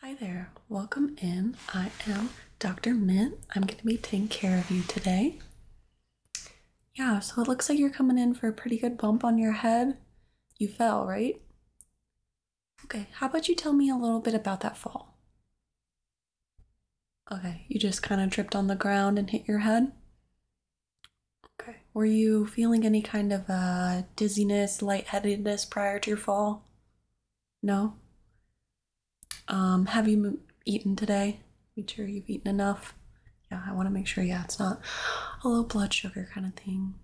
Hi there, welcome in. I am Dr. Mint. I'm going to be taking care of you today. Yeah, so it looks like you're coming in for a pretty good bump on your head. You fell, right? Okay, how about you tell me a little bit about that fall? Okay, you just kind of tripped on the ground and hit your head? Okay, were you feeling any kind of uh, dizziness, lightheadedness prior to your fall? No? Um, have you eaten today? Make sure you've eaten enough. Yeah, I want to make sure, yeah, it's not a low blood sugar kind of thing.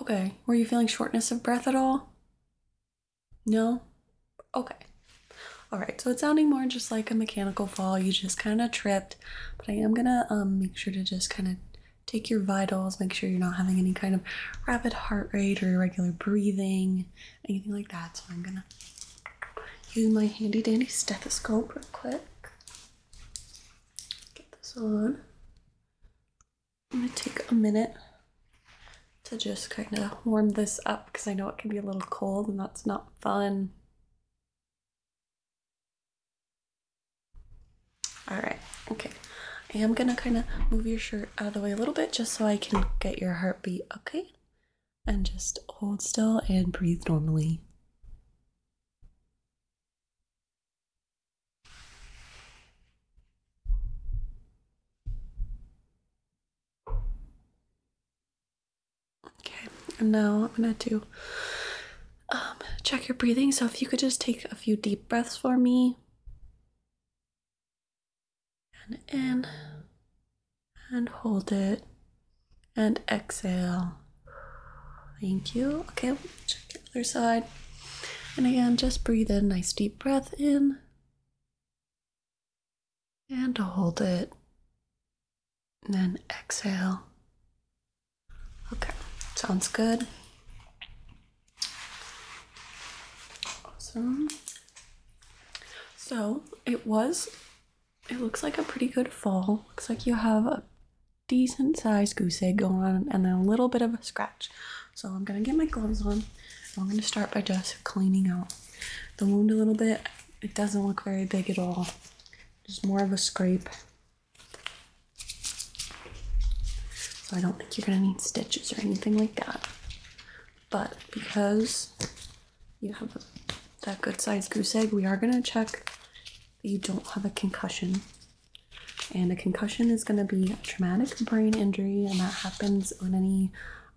Okay, were you feeling shortness of breath at all? No? Okay. All right, so it's sounding more just like a mechanical fall. You just kind of tripped, but I am gonna um, make sure to just kind of take your vitals, make sure you're not having any kind of rapid heart rate or irregular breathing, anything like that. So I'm gonna use my handy dandy stethoscope real quick. Get this on. I'm gonna take a minute to just kind of warm this up because I know it can be a little cold and that's not fun. All right, okay. I am gonna kind of move your shirt out of the way a little bit just so I can get your heartbeat, okay? And just hold still and breathe normally. Okay, and now I'm gonna do um, check your breathing. So if you could just take a few deep breaths for me. And in and hold it and exhale. Thank you. Okay, check the other side. And again, just breathe in, nice deep breath in and hold it. And then exhale. Okay, sounds good. Awesome. So it was, it looks like a pretty good fall. Looks like you have a decent sized goose egg going on and a little bit of a scratch. So I'm gonna get my gloves on. I'm gonna start by just cleaning out the wound a little bit. It doesn't look very big at all. Just more of a scrape. So I don't think you're gonna need stitches or anything like that. But because you have that good sized goose egg, we are gonna check that you don't have a concussion. And a concussion is gonna be a traumatic brain injury, and that happens on any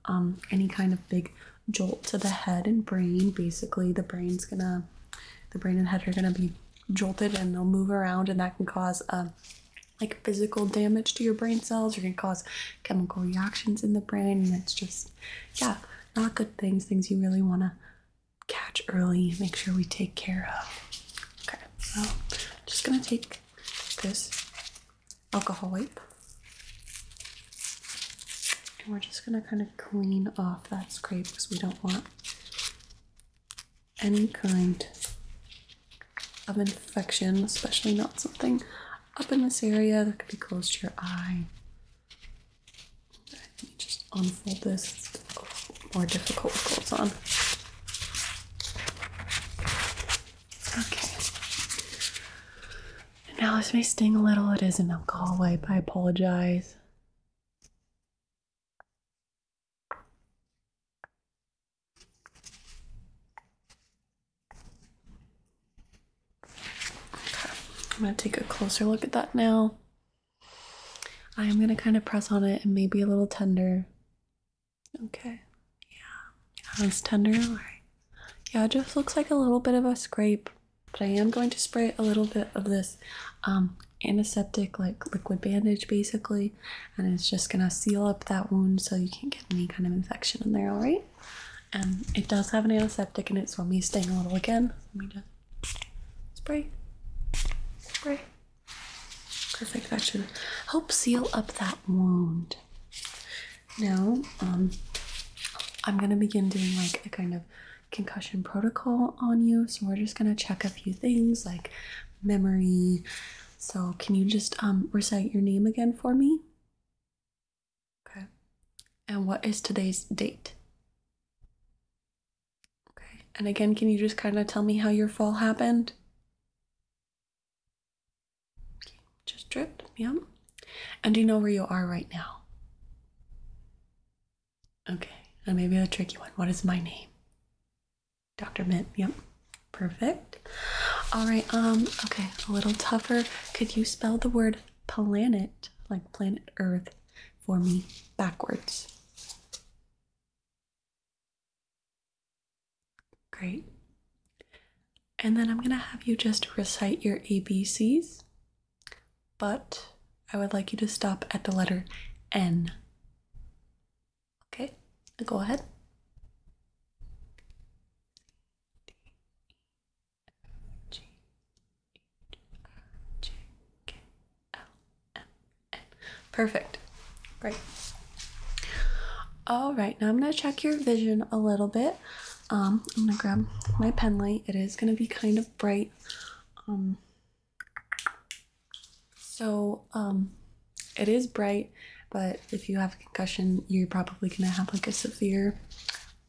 um, any kind of big jolt to the head and brain. Basically, the brain's gonna the brain and head are gonna be jolted and they'll move around and that can cause um, like physical damage to your brain cells You're gonna cause chemical reactions in the brain and it's just yeah not good things things you really want to catch early make sure we take care of okay so I'm just gonna take this alcohol wipe and we're just gonna kind of clean off that scrape because we don't want any kind of infection, especially not something up in this area that could be close to your eye. let me just unfold this. more difficult with clothes on. Okay. now this may sting a little. It is an alcohol wipe. I apologize. I'm gonna take a closer look at that now. I am gonna kind of press on it and maybe a little tender. Okay, yeah, yeah, it's tender. yeah, just looks like a little bit of a scrape. But I am going to spray a little bit of this um, antiseptic, like liquid bandage basically, and it's just gonna seal up that wound so you can't get any kind of infection in there, alright? And it does have an antiseptic in it, so me staying a little again. Let me just spray, spray. Perfect, that should help seal up that wound. Now, um, I'm gonna begin doing like a kind of concussion protocol on you. So we're just gonna check a few things like memory. So can you just um, recite your name again for me? Okay. And what is today's date? Okay. And again, can you just kind of tell me how your fall happened? Okay. Just dripped. Yeah. And do you know where you are right now? Okay, and maybe a tricky one. What is my name? Dr. Mint. Yep. Perfect. All right. Um. Okay. A little tougher. Could you spell the word planet, like planet Earth, for me backwards? Great. And then I'm gonna have you just recite your ABCs but I would like you to stop at the letter N. Okay, go ahead. Perfect. Great. All right, now I'm going to check your vision a little bit. Um, I'm going to grab my pen light. It is going to be kind of bright um, so um, it is bright, but if you have a concussion, you're probably gonna have like a severe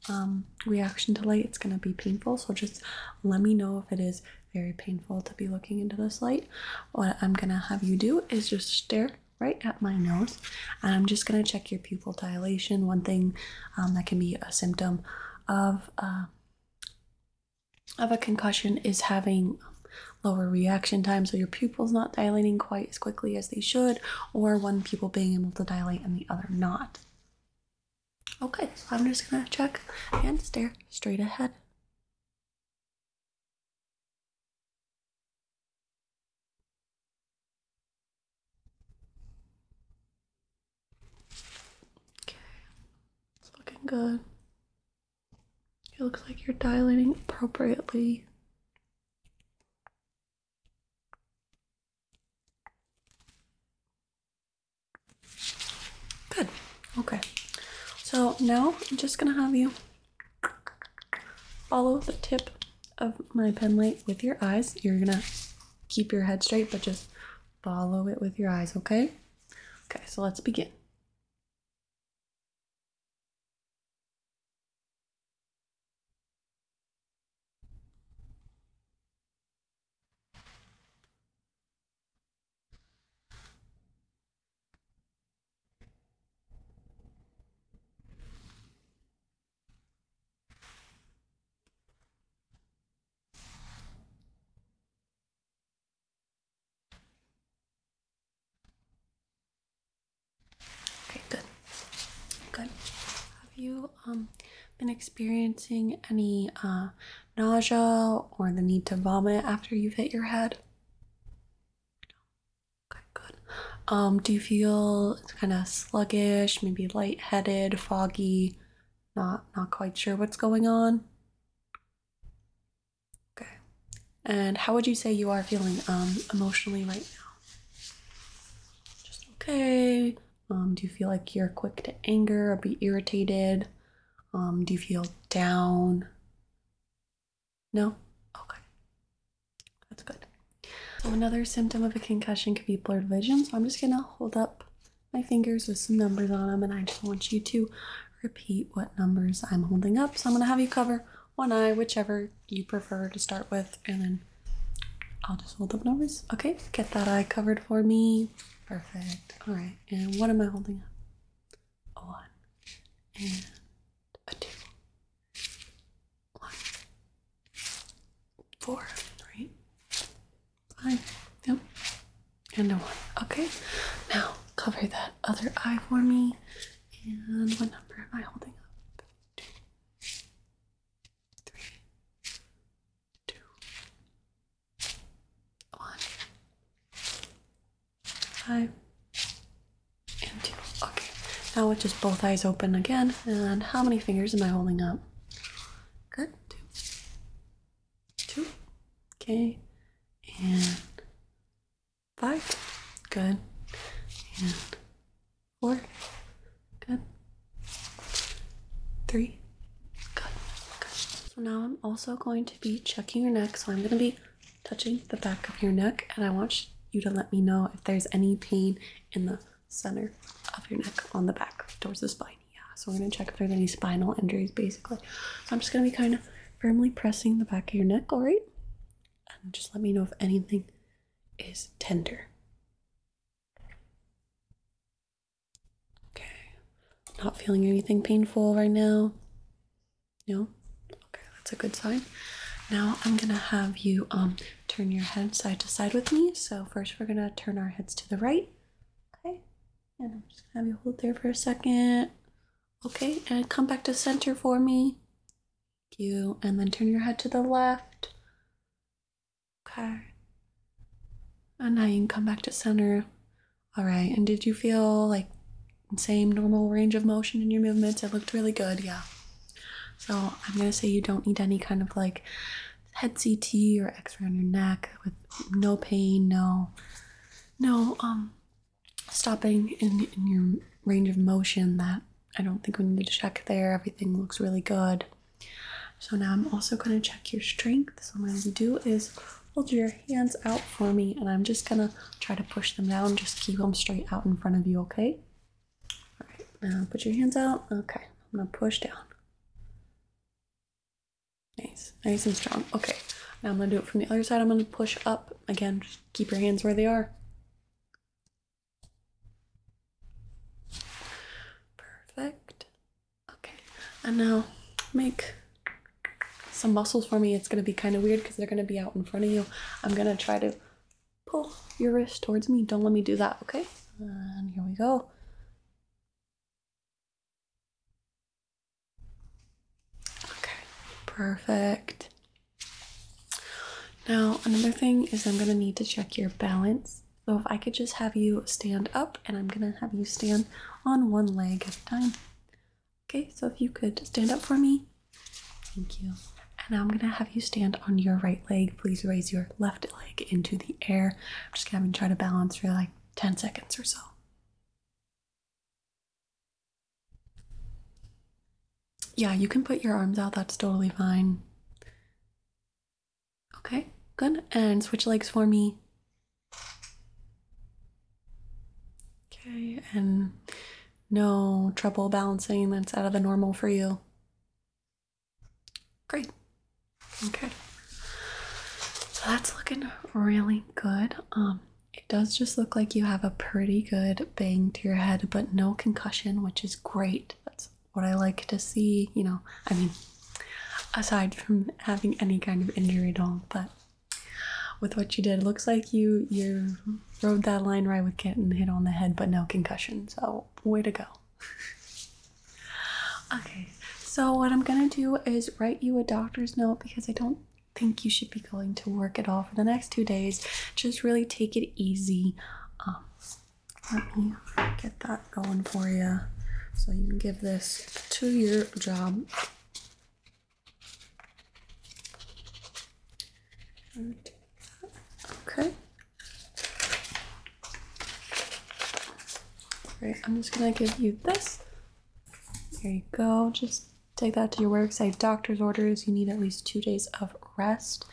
um, reaction to light. It's gonna be painful. So just let me know if it is very painful to be looking into this light. What I'm gonna have you do is just stare right at my nose, and I'm just gonna check your pupil dilation. One thing um, that can be a symptom of uh, of a concussion is having lower reaction time, so your pupils not dilating quite as quickly as they should, or one pupil being able to dilate and the other not. Okay, so I'm just gonna check and stare straight ahead. Okay, it's looking good. It looks like you're dilating appropriately. Good. Okay. So now I'm just gonna have you follow the tip of my pen light with your eyes. You're gonna keep your head straight, but just Follow it with your eyes, okay? Okay, so let's begin. Okay, good. Good. Have you um, been experiencing any uh, nausea or the need to vomit after you've hit your head? Okay, good. Um, do you feel kind of sluggish, maybe lightheaded, foggy? Not, not quite sure what's going on. Okay. And how would you say you are feeling um, emotionally right now? Just okay. Um, do you feel like you're quick to anger or be irritated? Um, do you feel down? No? Okay. That's good. So another symptom of a concussion could be blurred vision. So I'm just gonna hold up my fingers with some numbers on them, and I just want you to repeat what numbers I'm holding up. So I'm gonna have you cover one eye, whichever you prefer to start with, and then I'll just hold up numbers. Okay, get that eye covered for me. Perfect. All right, and what am I holding up? one and two one, four, right? Five. Yep. And a one. Okay. Now cover that other eye for me. And what number am I holding up? Two, three, two, one, five, and two. Okay. Now with just both eyes open again. And how many fingers am I holding up? Good. Two. Two. Okay. And five. Good. And four. Good. Three. Good. Good. So now I'm also going to be checking your neck. So I'm going to be touching the back of your neck and I want you to let me know if there's any pain in the center of your neck on the back towards the spine. Yeah, so we're gonna check if there's any spinal injuries basically. So I'm just gonna be kind of firmly pressing the back of your neck, all right? And just let me know if anything is tender. Okay, not feeling anything painful right now. No? Okay, that's a good sign. Now I'm gonna have you um turn your head side to side with me. So first we're gonna turn our heads to the right. Okay. And I'm just gonna have you hold there for a second. Okay, and come back to center for me. you. And then turn your head to the left. Okay. And now you come back to center. All right. And did you feel like same normal range of motion in your movements? It looked really good. Yeah. So I'm gonna say you don't need any kind of like head CT or X-ray on your neck with no pain, no, no um stopping in in your range of motion. That I don't think we need to check there. Everything looks really good. So now I'm also gonna check your strength. So what I'm gonna do is hold your hands out for me, and I'm just gonna try to push them down. Just keep them straight out in front of you. Okay. All right, now put your hands out. Okay, I'm gonna push down. Nice, nice and strong. Okay, now I'm gonna do it from the other side. I'm gonna push up again. Just keep your hands where they are. Perfect. Okay, and now make some muscles for me. It's gonna be kind of weird because they're gonna be out in front of you. I'm gonna try to pull your wrist towards me. Don't let me do that, okay? And here we go. Okay, perfect. Now, another thing is I'm gonna need to check your balance. So if I could just have you stand up and I'm gonna have you stand on one leg at a time. Okay, so if you could stand up for me. Thank you. And I'm gonna have you stand on your right leg. Please raise your left leg into the air. I'm just gonna try to balance for like 10 seconds or so. Yeah, you can put your arms out, that's totally fine. Okay, good. And switch legs for me. Okay, and no trouble balancing, that's out of the normal for you. Great. Okay. So that's looking really good. Um, it does just look like you have a pretty good bang to your head, but no concussion, which is great. That's what I like to see. You know, I mean, aside from having any kind of injury at all, but with what you did, looks like you you're rode that line right with Kitten, hit on the head, but no concussion. So, way to go. okay, so what I'm gonna do is write you a doctor's note because I don't think you should be going to work at all for the next two days. Just really take it easy. Um, let me get that going for you so you can give this to your job. Okay. Alright, I'm just gonna give you this. There you go. Just take that to your work. Say doctor's orders. You need at least two days of rest.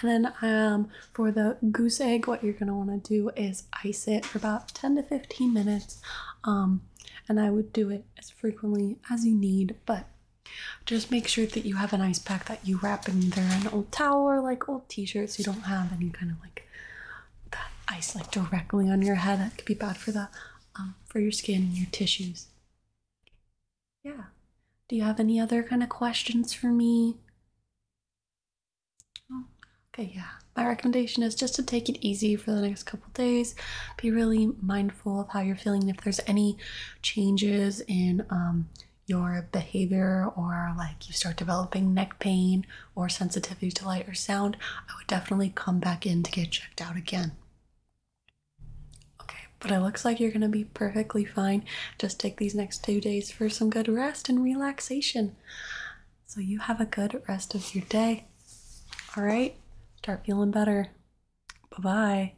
And then um, for the goose egg, what you're gonna wanna do is ice it for about 10 to 15 minutes. Um, and I would do it as frequently as you need, but just make sure that you have an ice pack that you wrap in either an old towel or like old t-shirts. You don't have any kind of like that ice like directly on your head. That could be bad for the um, for your skin and your tissues. Yeah. Do you have any other kind of questions for me? Oh, okay, yeah. My recommendation is just to take it easy for the next couple days. Be really mindful of how you're feeling. If there's any changes in um, your behavior or like you start developing neck pain or sensitivity to light or sound, I would definitely come back in to get checked out again. Okay, but it looks like you're gonna be perfectly fine. Just take these next two days for some good rest and relaxation. So you have a good rest of your day. All right, start feeling better. Bye bye.